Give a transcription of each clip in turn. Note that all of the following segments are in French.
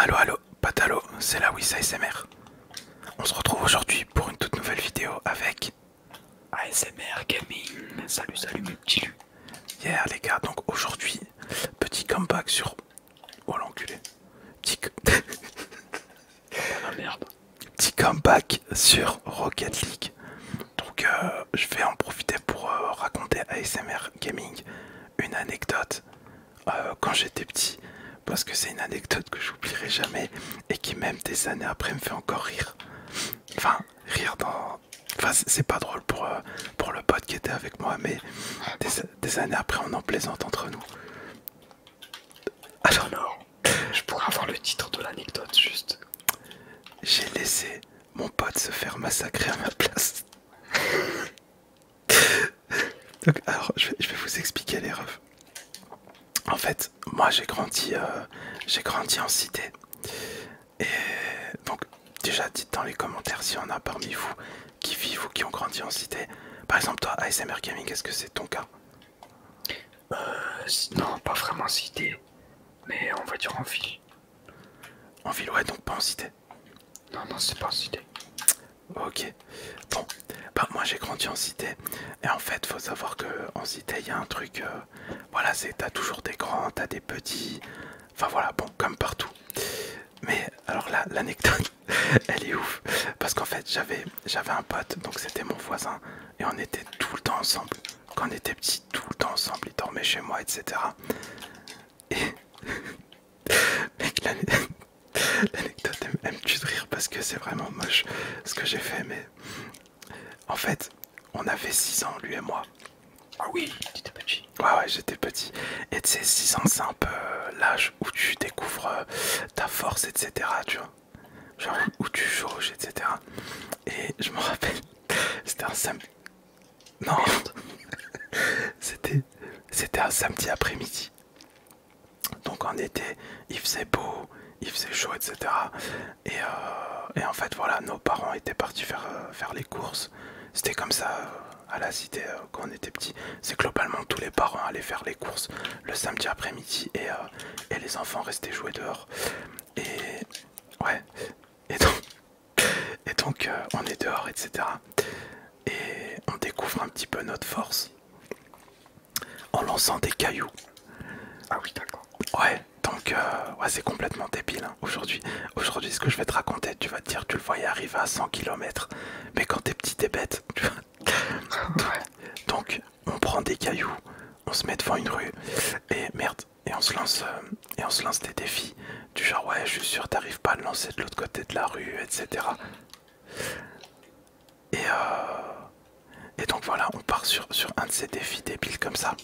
Allo allo, patalo, c'est la WIS ASMR. On se retrouve aujourd'hui pour une toute nouvelle vidéo avec ASMR Gaming. Salut, salut mes petits Hier les gars, donc aujourd'hui, petit comeback sur... Oh l'enculé. Petit... ah, merde. Petit comeback sur Rocket League. Donc euh, je vais en profiter pour euh, raconter ASMR Gaming une anecdote euh, quand j'étais petit, parce que c'est une anecdote que j'oublierai jamais et qui même des années après me fait encore rire. Enfin, rire dans... Enfin, c'est pas drôle pour, euh, pour le pote qui était avec moi, mais des, années après on en plaisante entre nous. Alors, non je pourrais avoir le titre de l'anecdote juste. J'ai laissé mon pote se faire massacrer à ma place. Donc, alors, je vais, vous expliquer les En fait, moi j'ai grandi, euh, j'ai grandi en cité. Et donc, déjà, dites dans les commentaires si en a parmi vous qui vivent ou qui ont grandi en cité. Par exemple, toi, ASMR Gaming, est-ce que c'est ton cas euh, Non, pas vraiment cité, mais on va dire en ville. En ville, ouais, donc pas en cité. Non, non, c'est pas en cité. Ok. Bon, bah moi j'ai grandi en cité. Et en fait, faut savoir que en cité, il y a un truc. Euh, voilà, c'est t'as toujours des grands, t'as des petits. Enfin voilà, bon, comme partout. Mais alors là, l'anecdote, elle est ouf. Parce qu'en fait, j'avais j'avais un pote, donc c'était mon voisin. Et on était tout le temps ensemble. Quand on était petit, tout le temps ensemble. Il dormait chez moi, etc. Et l'anecdote aime-tu rire parce que c'est vraiment moche ce que j'ai fait, mais en fait, on avait 6 ans, lui et moi. Ah oui, étais petit. Ouais, ouais, j'étais petit. Et tu sais, 6 ans, c'est un peu euh, l'âge où tu découvres euh, ta force, etc. Tu vois, genre où tu jauges, etc. Et je me rappelle, c'était un samedi. Non, C'était un samedi après-midi. Donc en été, il faisait beau, il faisait chaud, etc. Euh, et, en fait, voilà, nos parents étaient partis faire, euh, les courses. C'était comme ça euh, à la cité quand on était petit. C'est globalement tous les parents allaient faire les courses le samedi après-midi et, et les enfants restaient jouer dehors. Et ouais. Et donc, et donc euh, on est dehors, etc. Et on découvre un petit peu notre force en lançant des cailloux. Ah oui, d'accord. Ouais, donc euh, ouais, c'est complètement débile hein, aujourd'hui. Aujourd'hui, ce que je vais te raconter, tu vas te dire, tu le voyais arriver à 100 km. Mais quand t'es petit, t'es bête. Donc on prend des cailloux, on se met devant une rue et merde, et on se lance euh, et on se lance des défis du genre ouais je suis sûr t'arrives pas à le lancer de l'autre côté de la rue etc et, euh, et donc voilà on part sur, un de ces défis débiles comme ça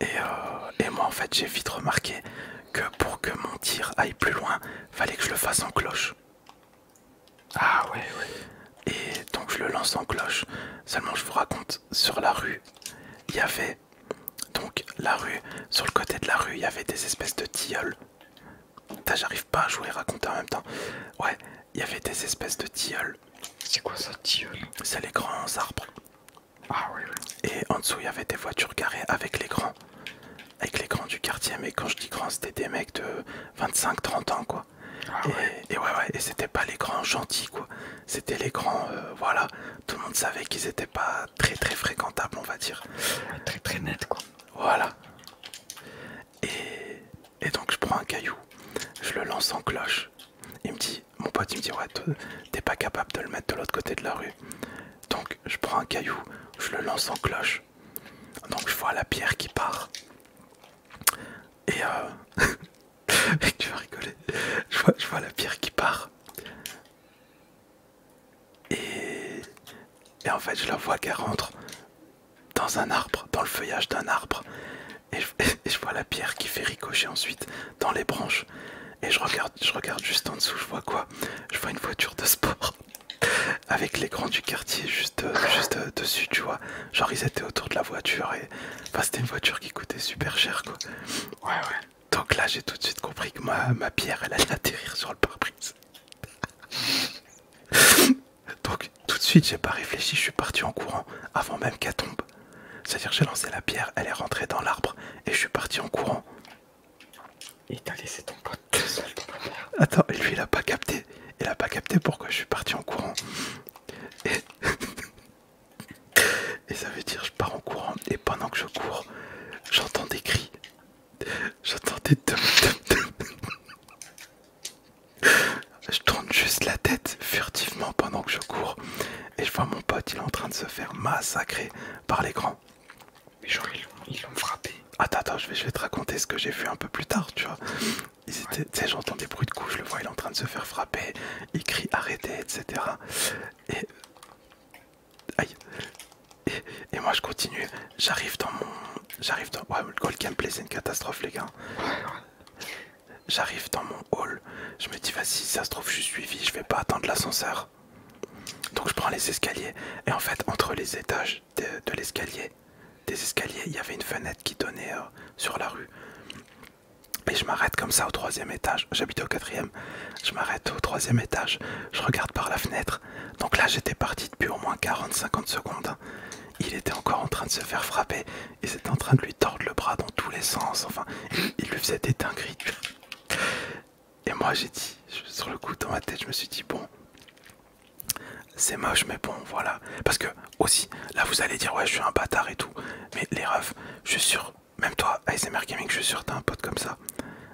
et, euh, et moi en fait j'ai vite remarqué que pour que mon tir aille plus loin fallait que je le fasse en cloche ah oui ouais et donc je le lance en cloche. Seulement je vous raconte, sur la rue, il y avait donc la rue, sur le côté de la rue, il y avait des espèces de tilleuls. J'arrive pas à jouer raconter en même temps. Ouais, il y avait des espèces de tilleuls. C'est quoi ça, tilleuls C'est les grands arbres. Ah oui, Et en dessous, il y avait des voitures garées avec les grands. Avec les grands du quartier, mais quand je dis grand, c'était des mecs de 25-30 ans, quoi. Ah et, ouais. ouais, et c'était pas les grands gentils, quoi. C'était les grands, euh, voilà, tout le monde savait qu'ils étaient pas très très fréquentables, on va dire. très très net, quoi. Voilà. Et, donc je prends un caillou, je le lance en cloche. Il me dit, mon pote, il me dit, ouais, t'es pas capable de le mettre de l'autre côté de la rue. Donc je prends un caillou, je le lance en cloche. Donc je vois la pierre qui part. Et euh, Et tu vas rigoler. Je vois, la pierre qui part. Et... en fait, je la vois qu'elle rentre dans un arbre, dans le feuillage d'un arbre. Et je, vois la pierre qui fait ricocher ensuite dans les branches. Et je regarde, juste en dessous, je vois quoi Je vois une voiture de sport avec l'écran du quartier juste dessus, tu vois. Genre ils étaient autour de la voiture et enfin, c'était une voiture qui coûtait super cher quoi. Ouais ouais. Donc là j'ai tout de suite compris que ma, ma pierre elle allait atterrir sur le pare-brise. Donc tout de suite j'ai pas réfléchi, je suis parti en courant avant même qu'elle tombe. C'est-à-dire j'ai lancé la pierre, elle est rentrée dans l'arbre et je suis parti en courant. Il t'a laissé ton pote tout seul la Attends, lui il a pas capté. Il a pas capté pourquoi je suis parti en courant. Et... ça veut dire je pars en courant et pendant que je cours, j'entends des cris. J'entends des Je tourne juste la tête furtivement pendant que je cours et je vois mon pote, il est en train de se faire massacrer par les grands. Mais genre ils l'ont frappé. Attends, attends, je vais te raconter ce que j'ai vu un peu plus tard, tu vois j'entends des bruits de coups, je le vois, il est en train de se faire frapper, il crie arrêtez, etc. Et. Aïe. Et, moi je continue, j'arrive dans mon. J'arrive dans. Ouais, le c'est une catastrophe, les gars. J'arrive dans mon hall, je me dis, vas-y, si ça se trouve, je suis suivi, je vais pas attendre l'ascenseur. Donc je prends les escaliers, et en fait, entre les étages, de, l'escalier, des escaliers, il y avait une fenêtre qui donnait euh, sur la rue. Et je m'arrête comme ça au troisième étage. j'habite au quatrième. Je m'arrête au troisième étage. Je regarde par la fenêtre. Donc là, j'étais parti depuis au moins 40-50 secondes. Il était encore en train de se faire frapper. Et c'était en train de lui tordre le bras dans tous les sens. Enfin, il lui faisait des dingueries. Et moi, j'ai dit, sur le coup, dans ma tête, je me suis dit, bon, c'est moche, mais bon, voilà. Parce que, aussi, là vous allez dire, ouais, je suis un bâtard et tout. Mais les refs, je suis sûr, même toi, ASMR Gaming, je suis sûr, t'as un pote comme ça.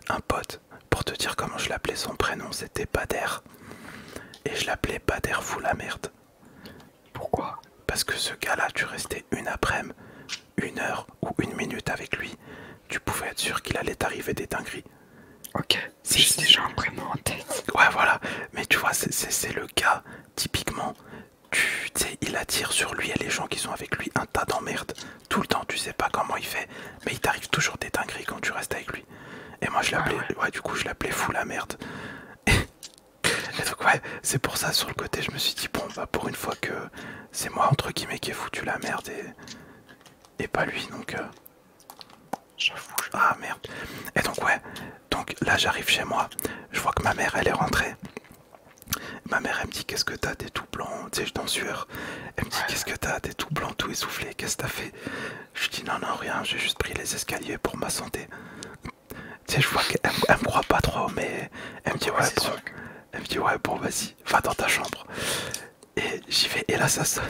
Un pote, pour te dire comment je l'appelais son prénom, c'était Bader. Et je l'appelais Bader fou la merde. Pourquoi Parce que ce gars-là, tu restais une après-midi, une heure ou une minute avec lui. Tu pouvais être sûr qu'il allait t'arriver des dingueries. Ok c'est des en Ouais, voilà. Mais tu vois, c'est le cas typiquement. Tu sais, il attire sur lui et les gens qui sont avec lui un tas d'emmerdes. Tout le temps, tu sais pas comment il fait. Mais il t'arrive toujours des dingueries quand tu restes avec lui. Et moi, je ah l'appelais. du coup, je l'appelais fou la merde. Et donc ouais, c'est pour ça sur le côté je me suis dit bon bah pour une fois que c'est moi entre guillemets qui ai foutu la merde et, et pas lui donc euh, J'avoue. Ah merde. Et donc ouais. Donc là j'arrive chez moi. Je vois que ma mère elle est rentrée. Ma mère elle me dit qu'est-ce que t'as t'es tout blanc. Tu sais je suis sueur. Elle me dit qu'est-ce que t'as t'es tout blanc tout essoufflé. Qu'est-ce que t'as fait Je dis non non rien. J'ai juste pris les escaliers pour ma santé. Tu je vois qu'elle me croit pas trop mais elle me dit bon. Elle me dit ouais bon vas-y va dans ta chambre. Et j'y vais et là ça sonne.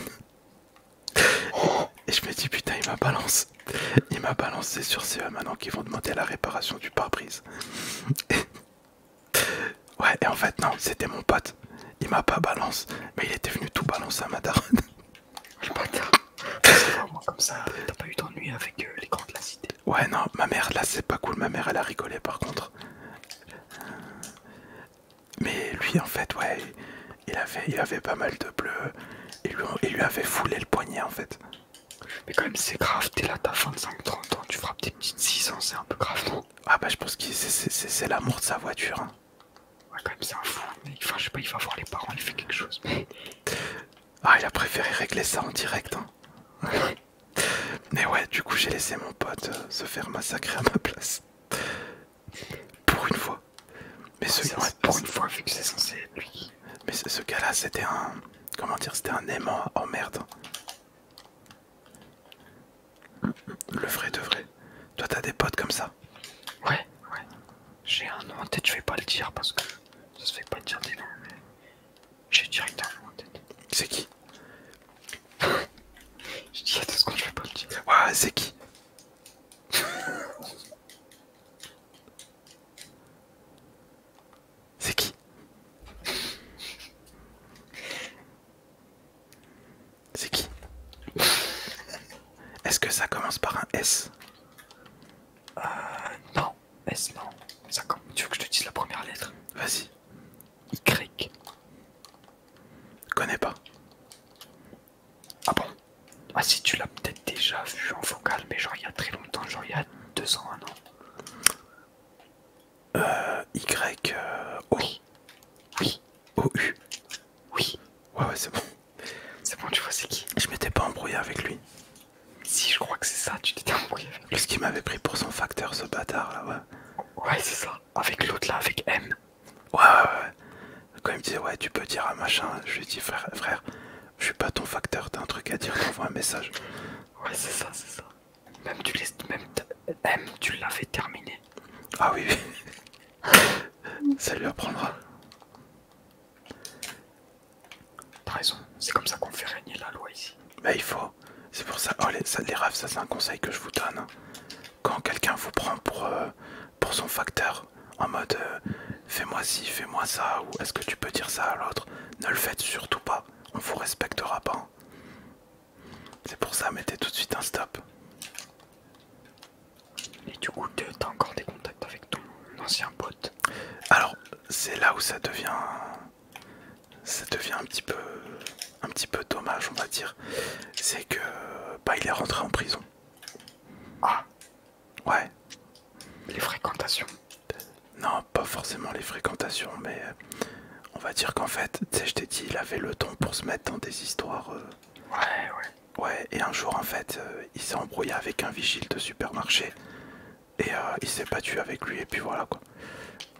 Et je me dis putain il m'a balancé. Il m'a balancé sur CE maintenant qui vont demander la réparation du pare-brise. ouais et en fait non c'était mon pote. Il m'a pas balance. Mais il était venu tout balancer à ma daronne. Le bâtard. Comme ça t'as pas eu d'ennuis avec euh, les grands de la cité. Ouais non ma mère là c'est pas cool. Ma mère elle a rigolé par contre. Mais lui en fait ouais il avait, il avait pas mal de bleu et lui, il lui avait foulé le poignet en fait. Mais quand même c'est grave, t'es là t'as 25-30 ans, tu frappes des petites 6 ans, c'est un peu grave Ah bah je pense que c'est l'amour de sa voiture. Hein. Ouais quand même c'est un fou, mais enfin, je sais pas, il va voir les parents, il fait quelque chose. Ah il a préféré régler ça en direct hein. Mais ouais, du coup j'ai laissé mon pote euh, se faire massacrer à ma place. Pour une fois. Mais ce, pour une fois, vu que c'est censé lui. Mais ce gars-là, c'était un. Comment dire C'était un aimant en merde. Le vrai de vrai. Toi, t'as des potes comme ça Ouais, ouais. J'ai un nom en tête, je vais pas le dire parce que ça se fait pas dire des noms. Mais... J'ai direct un nom en tête. C'est qui je dis à deux secondes, je vais pas le dire. Ouah, c'est qui C'est qui C'est qui Est-ce que ça commence par un S Euh. Non, S non. tu veux que je te dise la première lettre Vas-y. Y. Connais pas. Ah bon Ah si tu l'as peut-être déjà vu en vocal, mais genre il y a très longtemps, genre il y a deux ans, un an. Euh, y, euh, Oui. oui. Oui. Ouais, ouais, c'est bon. C'est bon, tu vois, c'est qui Je m'étais pas embrouillé avec lui. Si, je crois que c'est ça, tu t'étais embrouillé avec lui. qu'il m'avait pris pour son facteur, ce bâtard là, ouais. Ouais, c'est ça avec l'autre là, avec M. Ouais, ouais, ouais. Quand il me disait, ouais, tu peux dire un machin, je lui dis, frère, je suis pas ton facteur, t'as un truc à dire, t'envoies un message. Ouais, c'est ça, c'est ça. Même tu même M, tu l'avais terminé. Ah oui, oui. ça lui apprendra. T'as raison, c'est comme ça qu'on fait régner la loi ici. Mais bah, il faut. C'est pour ça, oh, les, ça, rêves, ça c'est un conseil que je vous donne. Quand quelqu'un vous prend pour, euh, son facteur, en mode euh, fais-moi ci, fais-moi ça, ou est-ce que tu peux dire ça à l'autre, ne le faites surtout pas, on vous respectera pas. C'est pour ça, mettez tout de suite un stop. Et du coup, t'as encore des contacts avec ton ancien pote Alors, c'est là où ça devient ça devient un petit peu un petit peu dommage on va dire c'est que bah il est rentré en prison ah ouais les fréquentations non pas forcément les fréquentations mais euh, on va dire qu'en fait tu sais je t'ai dit il avait le temps pour se mettre dans des histoires euh, ouais ouais ouais et un jour en fait euh, il s'est embrouillé avec un vigile de supermarché et il s'est battu avec lui et puis voilà quoi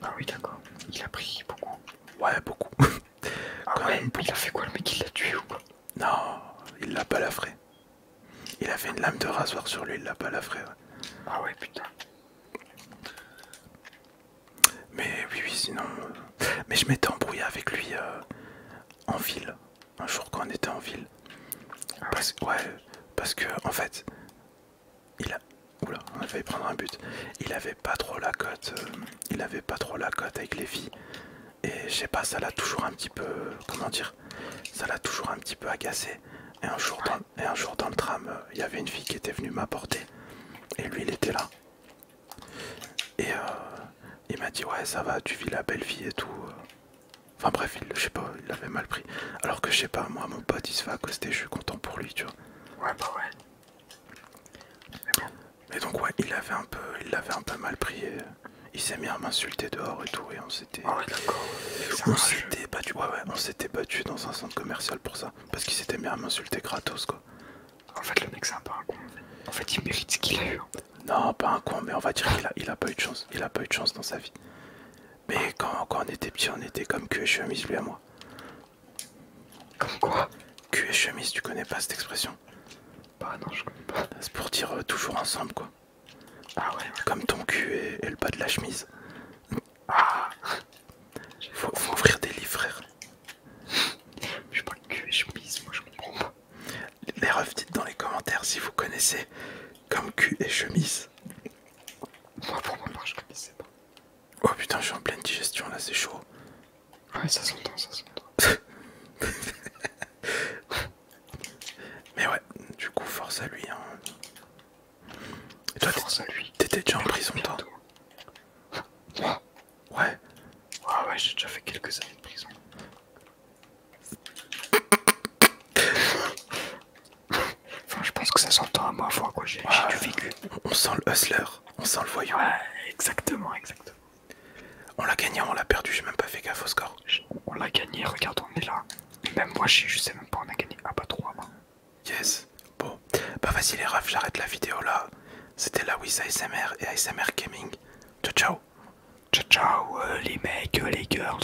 ah oui d'accord il a pris beaucoup Ouais, ah beaucoup. il a fait quoi le mec Il l'a tué ou quoi Non, il l'a pas balafré. Il a fait une lame de rasoir sur lui, il l'a pas balafré. Ah ouais, putain. Mais oui, oui, sinon. Euh, mais je m'étais embrouillé avec lui euh, en ville. Un jour quand on était en ville. Ah ouais, parce que en fait, il a... Oula, on a prendre un but. Il avait pas trop la cote. Euh, il avait pas trop la cote avec les filles. Et je sais pas, ça l'a toujours un petit peu. Comment dire Ça l'a toujours un petit peu agacé. Et un jour dans, le tram, euh, il y avait une fille qui était venue m'apporter. Et lui, il était là. Et euh, il m'a dit Ouais, ça va, tu vis la belle vie et tout. Enfin bref, il, je sais pas, il l'avait mal pris. Alors que je sais pas, moi, mon pote, il se fait accoster, je suis content pour lui, tu vois. Ouais, bah ouais. Mais donc, ouais, il avait un peu, il l'avait un peu mal pris. il s'est mis à m'insulter dehors et tout, et on s'était. Ah s'était battu. Ouais, on s'était battu dans un centre commercial pour ça. Parce qu'il s'était mis à m'insulter gratos, quoi. En fait, le mec, c'est un pas un con. En fait, il mérite ce qu'il a eu. Non, pas un con, mais on va dire qu'il a pas eu de chance. Il a pas eu de chance dans sa vie. Mais quand, quand on était petit, on était comme cul et chemise, lui à moi. Comme quoi Cul et chemise, tu connais pas cette expression Bah non, je connais pas. C'est pour dire euh, toujours ensemble, quoi. Ah ouais, Comme ton cul et, le bas de la chemise. Ah faut, ouvrir des livres, frère. Je parle cul et chemise, moi je comprends pas. Les refs, dites dans les commentaires si vous connaissez comme cul et chemise. Moi pour ma je connaissais pas. Oh putain je suis en pleine digestion là c'est chaud. Ouais ça s'entend, ça s'entend. Mais ouais, du coup force à lui hein. Et toi force à lui. T'étais déjà en prison toi Ouais. Ouais ouais j'ai déjà fait quelques années de prison. enfin, je pense que ça s'entend à moi, fois quoi, j'ai du vécu. On, sent le hustler, on sent le voyant. Ouais, exactement, exactement. On l'a gagné, on l'a perdu, j'ai même pas fait gaffe au score. On l'a gagné, regarde, on est là. Même moi, je sais même pas, on a gagné. Ah pas bah, trop hein. Yes, bon. Bah vas-y les refs, j'arrête la vidéo là. C'était la Wiz ASMR et ASMR Gaming. Ciao ciao. Ciao euh, les mecs, euh, les girls.